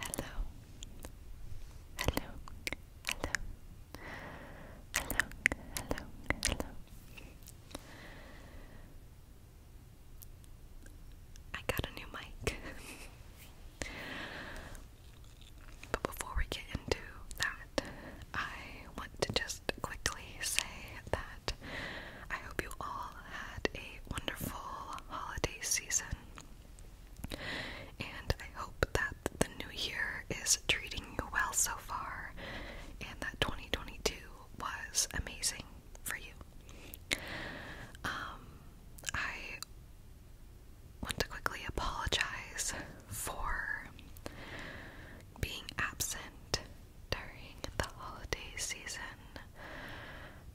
Hello, hello, hello, hello, hello, hello. I got a new mic. but before we get into that, I want to just quickly say that I hope you all had a wonderful holiday season. And I hope that the new year is treating you well so far and that 2022 was amazing for you. Um, I want to quickly apologize for being absent during the holiday season.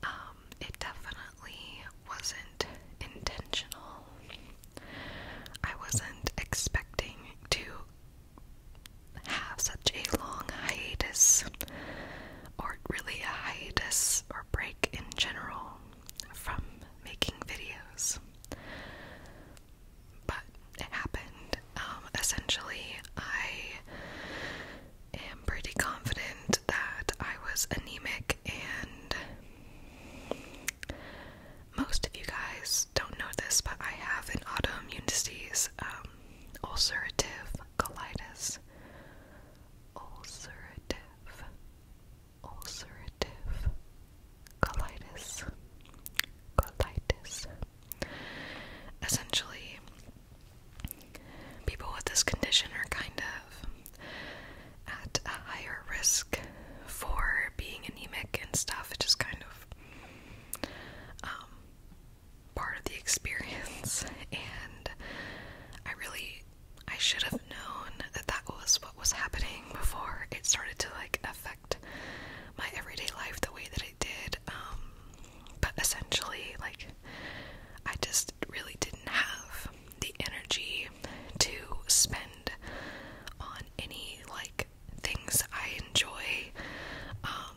Um, it definitely wasn't intentional. I wasn't expecting to have such a long hiatus, or really a hiatus or break in general, from making videos but it happened. Um, essentially, I am pretty confident that I was anemic, and most of you guys don't know this, but I have an autoimmune disease, um, ulcerative colitis. Ulcerative, ulcerative colitis, colitis, Essentially, people with this condition are kind of at a higher risk for being anemic and stuff. It just kind of um, part of the experience, and I really I should have known that that was what was happening before it started to like affect my everyday life the way that it did, um, but essentially, like, I just really didn't have the energy to spend on any, like, things I enjoy. Um,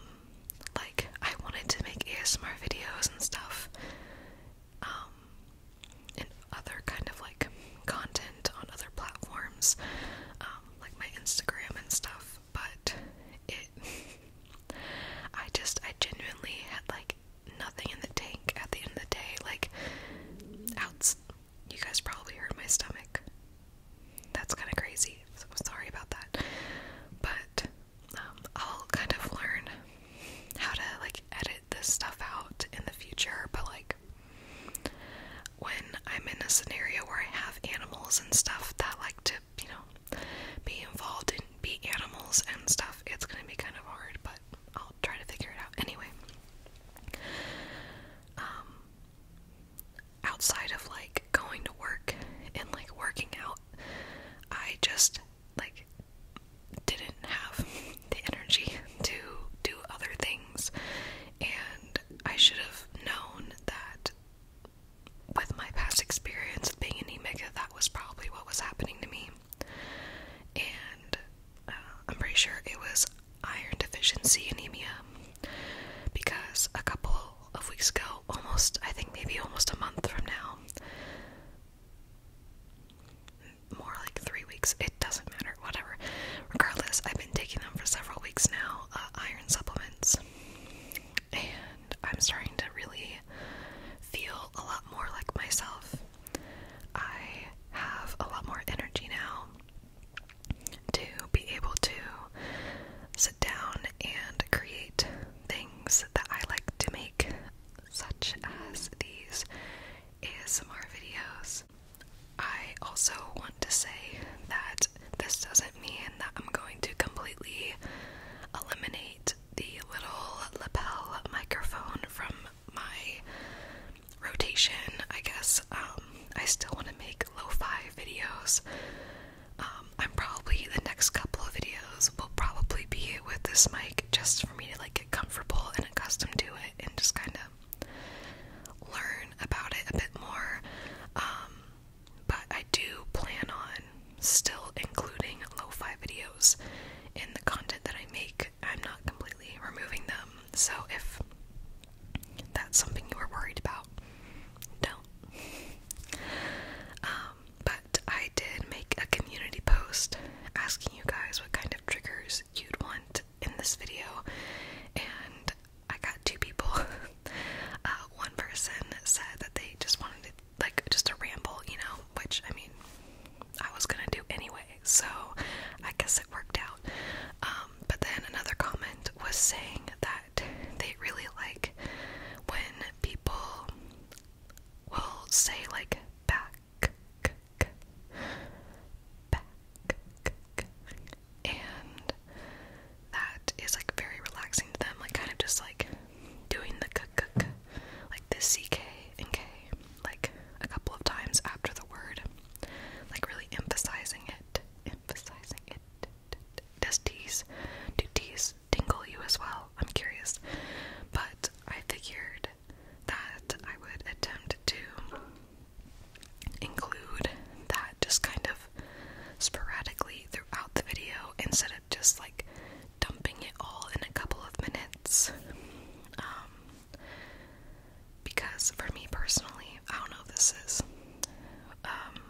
like, I wanted to make ASMR videos and stuff, um, and other kind of like content on other platforms, um, like my Instagram and stuff but it I just I genuinely had like nothing in the tank at the end of the day. Like outs you guys probably heard my stomach. That's kinda crazy. sorry about that. But um, I'll kind of learn how to like edit this stuff out in the future, but like when I'm in a scenario where I have animals and stuff that like to, you know, be involved and be animals and stuff, it's gonna be kind of hard, but I'll try to figure it out anyway. Um outside of like going to work and like working out, I just like didn't have the energy to do other things and I should have known that with my past experience of being anemic, that was probably what was happening to me. And uh, I'm pretty sure it was iron deficiency anemia because a couple of weeks ago, almost, I think maybe almost a month from now, more like three weeks, it doesn't matter, whatever. Regardless, I've been taking them for several weeks now, uh, iron supplements and I'm starting to really feel a lot more like myself. I have a lot more energy now to be able to sit down and create things that I like to make, such as these ASMR videos. I also want to say that this doesn't mean that I'm going to completely eliminate the little lapel microphone from my rotation, I guess. Um, I still want to make lo fi videos. Um, I'm probably the next couple of videos will probably be with this mic just for me to like get comfortable and accustomed to it and just kind of learn about it a bit more. Um, but I do plan on still including lo fi videos in the content that I make. I'm not completely removing them. So if that's something you were worried about, don't. Um, but I did make a community post asking you guys what kind of triggers you'd want in this video, and I got two people. uh, one person said that they just wanted to, like, just a ramble, you know, which, I mean, I was gonna do anyway, so I guess it worked out. Um, but then another comment was saying that they really like when people will say, like, back, back, back, and that is like very relaxing to them, like kind of just like doing the k k like the ck and k, like a couple of times after the word, like really emphasizing it, emphasizing it. Does tease, do tease tingle you as well? I'm curious, but I figured that I would attempt to include that just kind of sporadically throughout the video instead of just like dumping it all in a couple of minutes. Um, because for me personally, I don't know if this is um,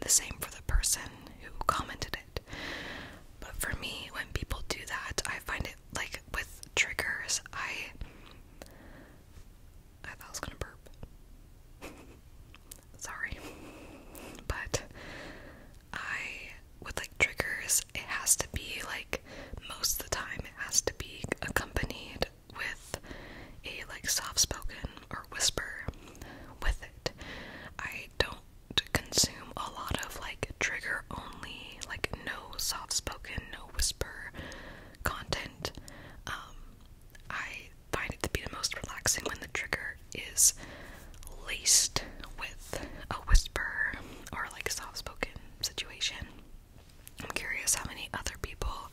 the same for the person who commented it, but for me, when people do that, I find it like with triggers, I I thought I was gonna burp. Sorry. But I with like triggers, it has to be like most of the time it has to be accompanied with a like soft spoken or whisper with it. I don't consume a lot of like trigger only, like no soft spoken, no whisper content. Um, I find it to be the most relaxing when the trigger is laced with a whisper or like a soft spoken situation. I'm curious how many other people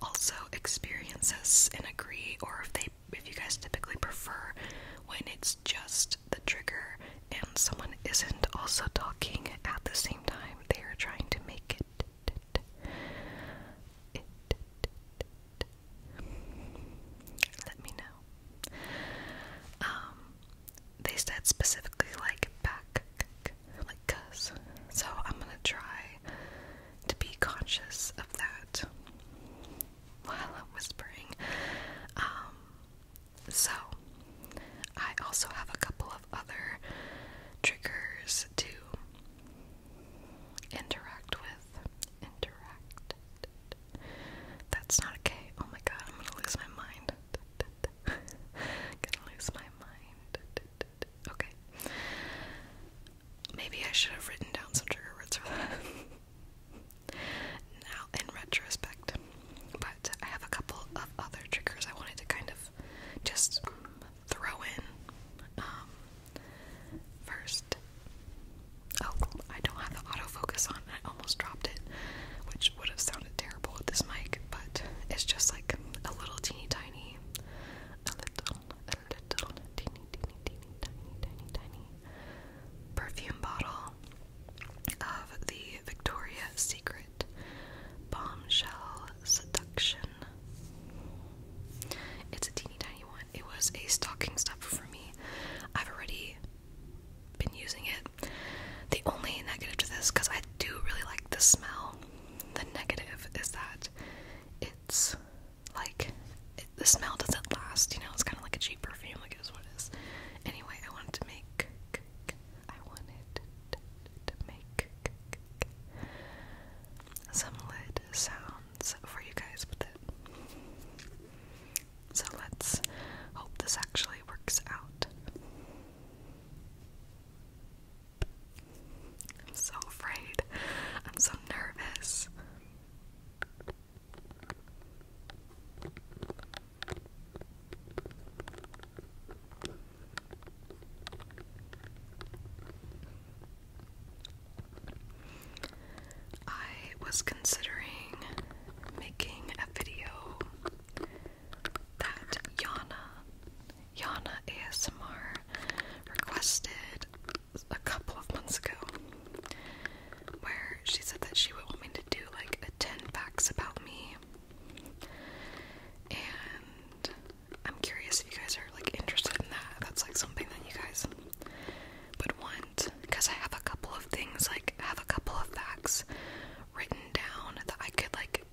also experience this and agree or if they if you guys typically prefer when it's just the trigger and someone isn't also talking at the same time they are trying to make it it let me know. Um, they said specifically like back, like cuss. So I'm gonna try to be conscious of that while whispering. Um, so I also have a couple of other triggers to Interact with. Interact. That's not okay. Oh my god, I'm gonna lose my mind. gonna lose my mind. Okay. Maybe I should have written down some trigger words for that. now, in retrospect. But I have a couple of other triggers I wanted to kind of just throw in um, first. Oh, I don't have the autofocus on. I almost dropped it, which would have sounded terrible with this mic, but it's just like a little teeny tiny, a little, a little teeny, teeny, teeny, tiny, tiny, tiny perfume bottle of the Victoria Secret Bombshell Seduction. It's a teeny tiny it was a stocking stuffer for me. I've already been using it. The only negative to this, because I do really like the smell, the negative is that it's like the smell doesn't last. You know, it's kind of like a cheap perfume, like it is what it is. Anyway, I wanted to make. I wanted to make some lid sounds sounds for you guys with it. So let's hope this actually works out. I'm so afraid. I'm so nervous. I was considering making a video that Yana, Yana ASMR, requested a couple of months ago, where she said that she would want me to do like a 10 facts about me. And I'm curious if you guys are like interested in that. That's like something that you guys would want because I have a couple of things like I have a couple of facts written down that I could like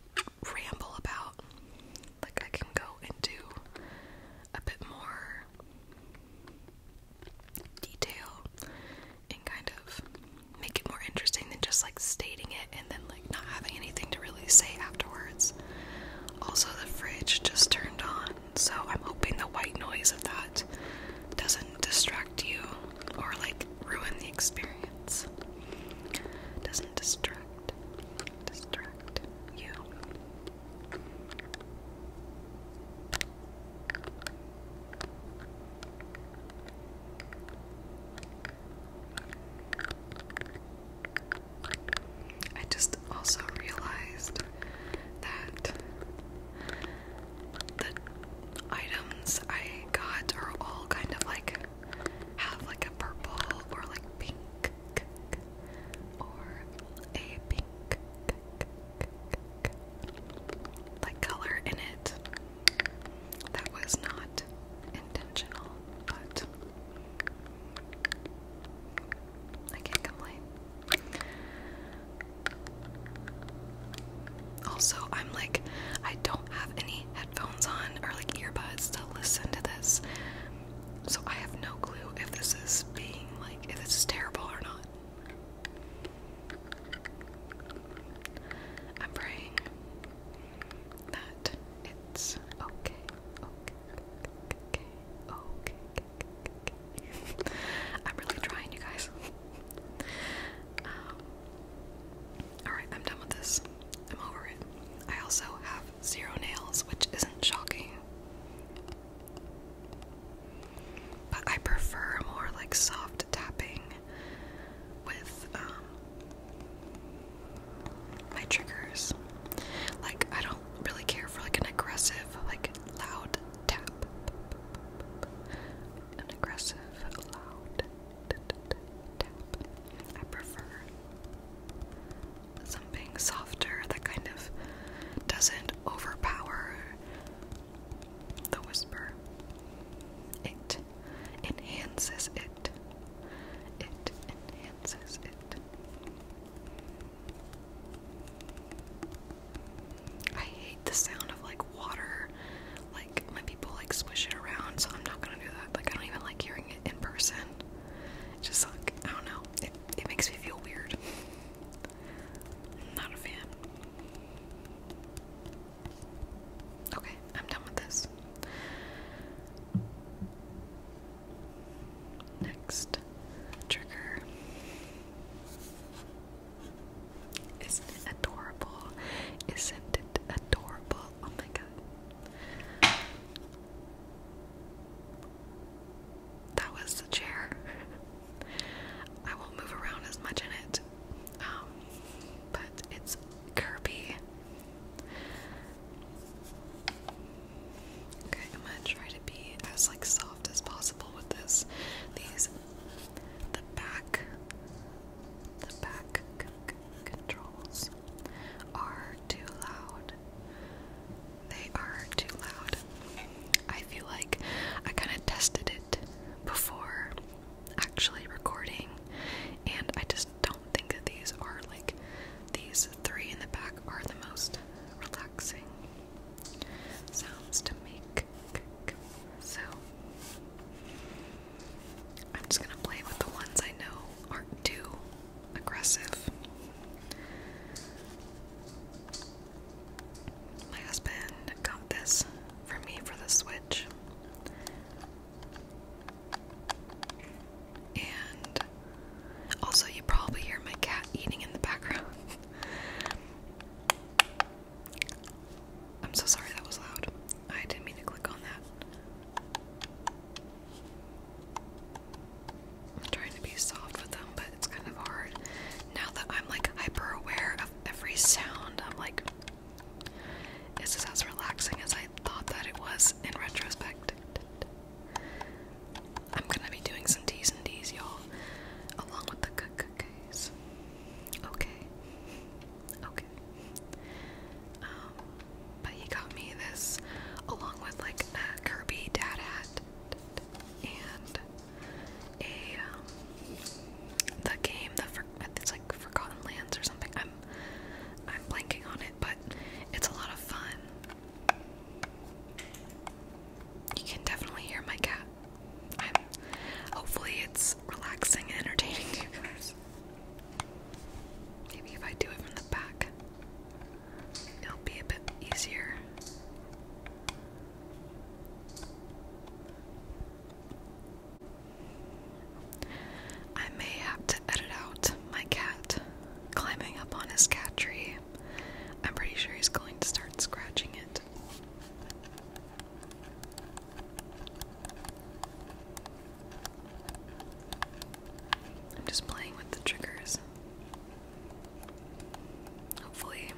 ramble about. Like I can go into a bit more detail and kind of make it more interesting than just like stating it and then like not having anything to really say afterwards. Also the fridge just turned on so I'm hoping the white noise of that doesn't distract you or like ruin the experience. Doesn't distract distract you. I just also realized that the items I got are all kind of like have like a purple or like pink or a pink like color in it. That was not intentional, but I can't complain. Also, I'm like, I don't have any headphones on or like earbuds to listen to this. So I have no clue if this is being like, if this is terrible or not. I'm praying that it's okay, okay, okay, okay, I'm really trying, you guys. Um, alright, I'm done with this. I'm over it. I also have zero nails, which isn't shocking. But I prefer more like soft tapping with um, my triggers. Like I don't really care for like an aggressive, like loud tap. An aggressive, loud tap. I prefer something softer that kind of doesn't overpower the whisper. It enhances it. It enhances it. I hate the sound of like water, like when people like swish it around, so I'm not gonna do that. Like I don't even like hearing it in person. It's just like I don't know. It it makes me feel weird. not a fan. Okay, I'm done with this. Next trigger. Isn't it adorable? Isn't it adorable? Oh my god. That was the chair. I won't move around as much in it. Um, but it's Kirby. Okay, I'm gonna try to be as like soft as possible with this. These, the back, the back controls are too loud. They are too loud. I feel like I kind of tested it before actually recording, and I just don't think that these are like these three in the back are the most relaxing sounds to make. So I'm just gonna play with the ones I know aren't too aggressive. My husband got this for me for the Switch. And also, you probably hear my cat eating in the background. I'm so sorry that was loud. I didn't mean to click on that. I'm trying to be soft with them, but it's kind of hard. Now that I'm like hyper aware of every sound, I'm like, is this as relaxing as I thought that it was in retrospect? I'm gonna be doing some T's and D's, y'all, along with the cookies. Okay. Okay. Um, but he got me this along with like a Kirby dad hat and a um, the game the for it's like Forgotten Lands or something. I'm I'm blanking on it, but it's a lot of fun you can definitely hear my cat. hopefully, it's relaxing and entertaining you guys. Maybe if I do it from the back, it'll be a bit easier. I may have to edit out my cat climbing up on his cat tree I'm pretty sure he's going to start scratching it. I'm just playing with the triggers. Hopefully,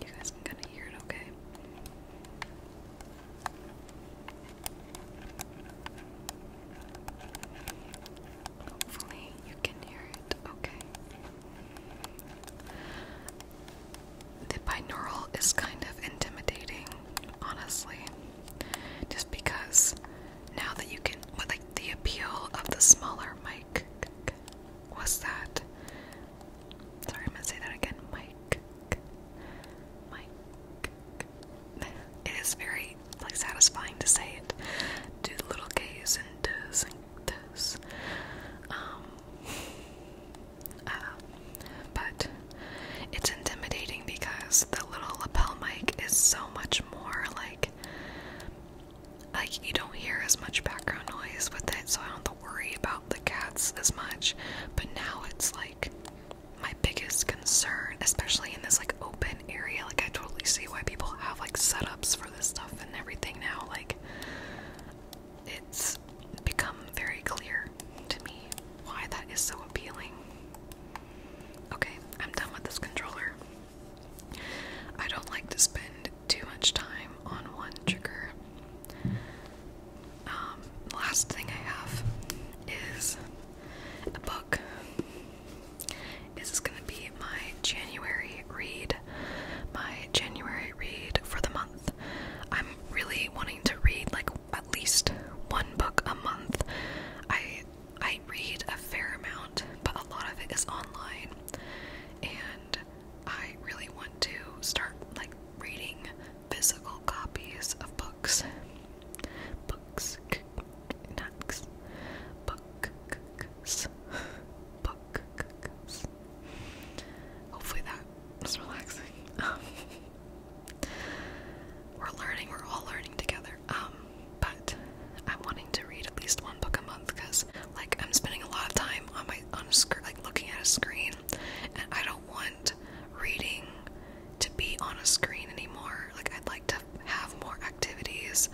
you guys can kind of hear it okay. Hopefully, you can hear it okay. The binaural is kind of intimidating, honestly, just because now that you can, what, like the appeal of the smaller mic was that. Sorry, I'm gonna say that again. Mike, mic. It is very like satisfying to say it. Do the little gaze and does and Um, uh, but it's intimidating because the little lapel mic is so much more like like you don't hear as much background noise with it, so I don't have to worry about the cats as much. But now it's like my biggest concern, especially in this like open area. Like I totally see why people have like setups for this stuff and everything now. Like it's become very clear to me why that is so appealing. Okay, I'm done with this controller. I don't like to spend too much time on one trigger. Um, last thing I have is a book. This is going to be my January read. My January read for the month. I'm really wanting to read like at least one book a month. I I read a fair amount, but a lot of it is online. And I really want to start like reading physical copies of books. Books, not book, Bucks. Hopefully that was relaxing. we're learning, we're all learning together. Um, but I'm wanting to read at least one book a month because, like, I'm spending a lot of time on my on screen, like looking at a screen, and I don't want reading to be on a screen anymore. Like, I'd like to have more activities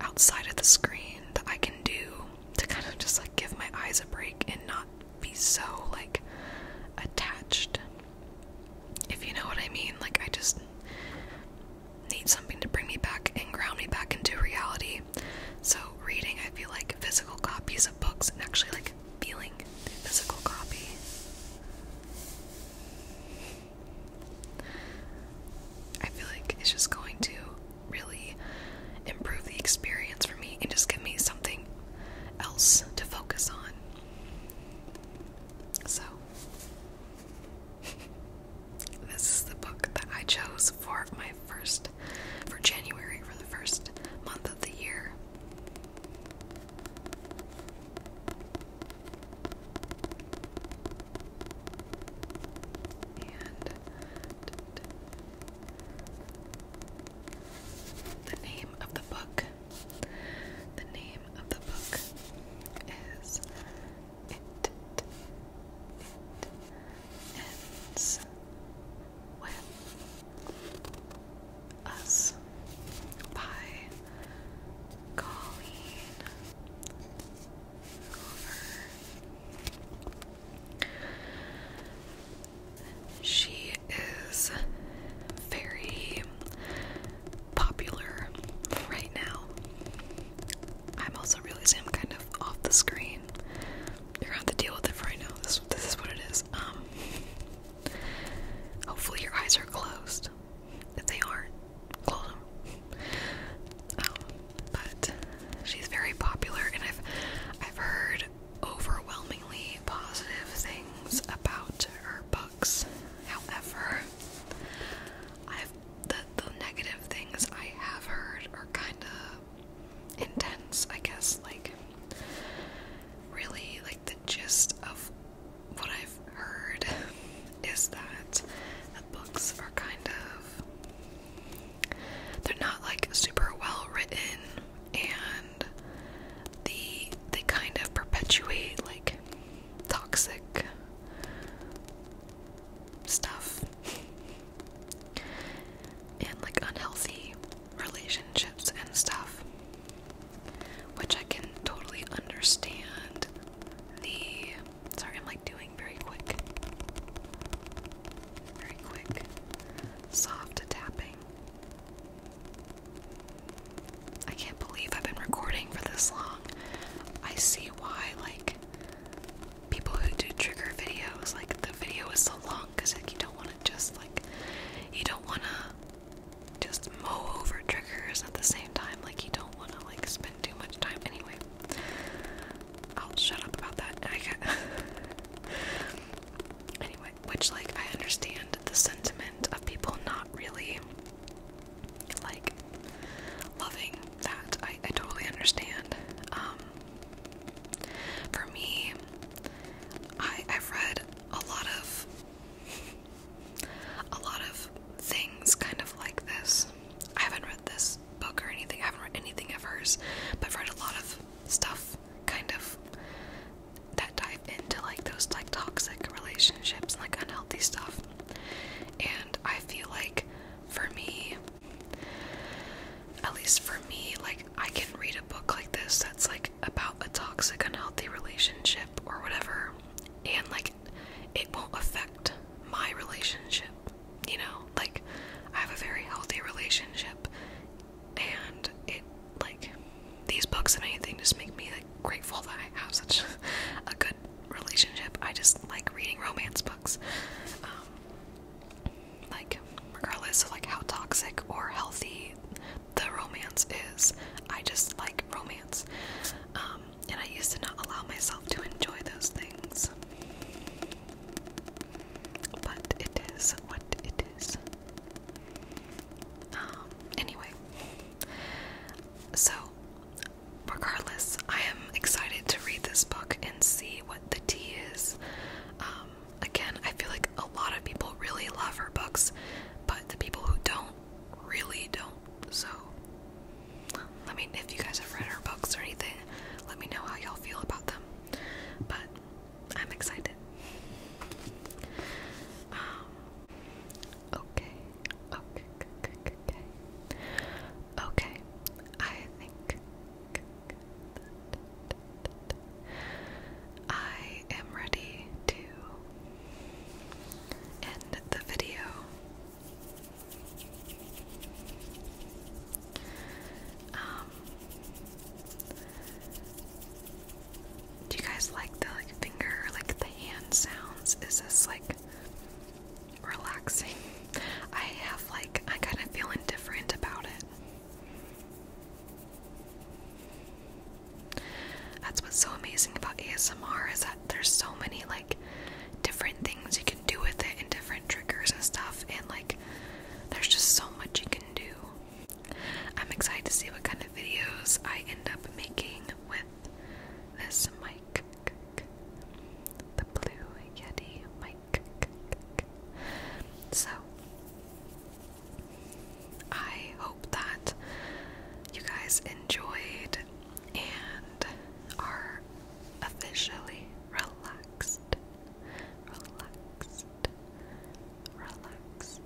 outside of the screen that I can do to kind of just like give my eyes a break and not be so like attached. If you know what I mean, like I just need something to bring me back and ground me back into reality. So reading, I feel like physical copies of books and actually like feeling the physical copy. I feel like it's just going to really improve the experience for me and just give me something else to focus on. So, this is the book that I chose for my first, for January, for the first month of the year. And the name of the book, the name of the book is It, it Ends With Us by Colleen she is very popular right now. I'm also realizing I'm kind of off the screen. You're gonna have to deal with it right now. This this is what it is. Um hopefully your eyes are closed. If they aren't, um, but she's very popular, and I've I've heard overwhelmingly positive things about her books. However, I've the the negative things I have heard are kind of intense. I guess like really like the gist of what I've heard is that the books are kind of they're not like super well written and the they kind of perpetuate like toxic stuff and like unhealthy relationships and stuff which I can totally understand the Sorry, I'm like doing very quick. Very quick. Soft tapping. I can't believe I've been recording for this long. I see why, like, people who do trigger videos, like, the video is so long because, like, you don't want to just, like, you don't want to just mow over triggers at the same time. Like, you don't want to, like, spend too much time anyway. I'll shut up about that. I get anyway, which like I understand the sentiment of people not really like loving that. I, I totally understand. Um for me I I've read a lot of a lot of things kind of like this I haven't read this book or anything. I haven't read anything of hers, but I've read a lot of stuff kind of that dive into like those like toxic relationships, like unhealthy stuff. And I feel like for me, at least for me, like I can read a book like this that's like about a toxic, unhealthy relationship or whatever, and like it won't affect my relationship you know, like I have a very healthy relationship and it like these books and anything just make me like grateful that I have such a good relationship. I just like reading romance books. Um, like regardless of like how toxic or healthy the romance is, I just like romance. Um, and I used to not allow myself to enjoy those things. But it is what it is. Um, anyway. So, regardless, I am excited to read this book and see what the T is. Um, again, I feel like a lot of people really love her books, but the people who don't really don't. So, let me if you guys have read her books or anything, let me know how y'all feel about them. But I'm excited. Um, okay. Okay. Okay. Okay. I think I am ready to end the video. Um, do you guys like the finger, like the hand sounds? Is this like relaxing? I have like I kind of feel indifferent about it. That's what's so amazing about ASMR is that there's so many like different things you can do with it and different triggers and stuff and like there's just so much you can do. I'm excited to see what kind of videos I end up making with this mic. The blue Yeti mic. So I hope that you guys enjoyed and are officially relaxed relaxed, relaxed.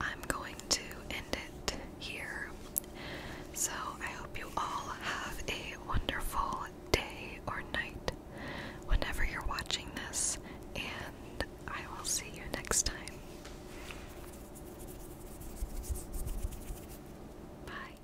I'm going to end it here. So I hope you all have a wonderful day or night whenever you're watching this, and I will see you next time. Bye.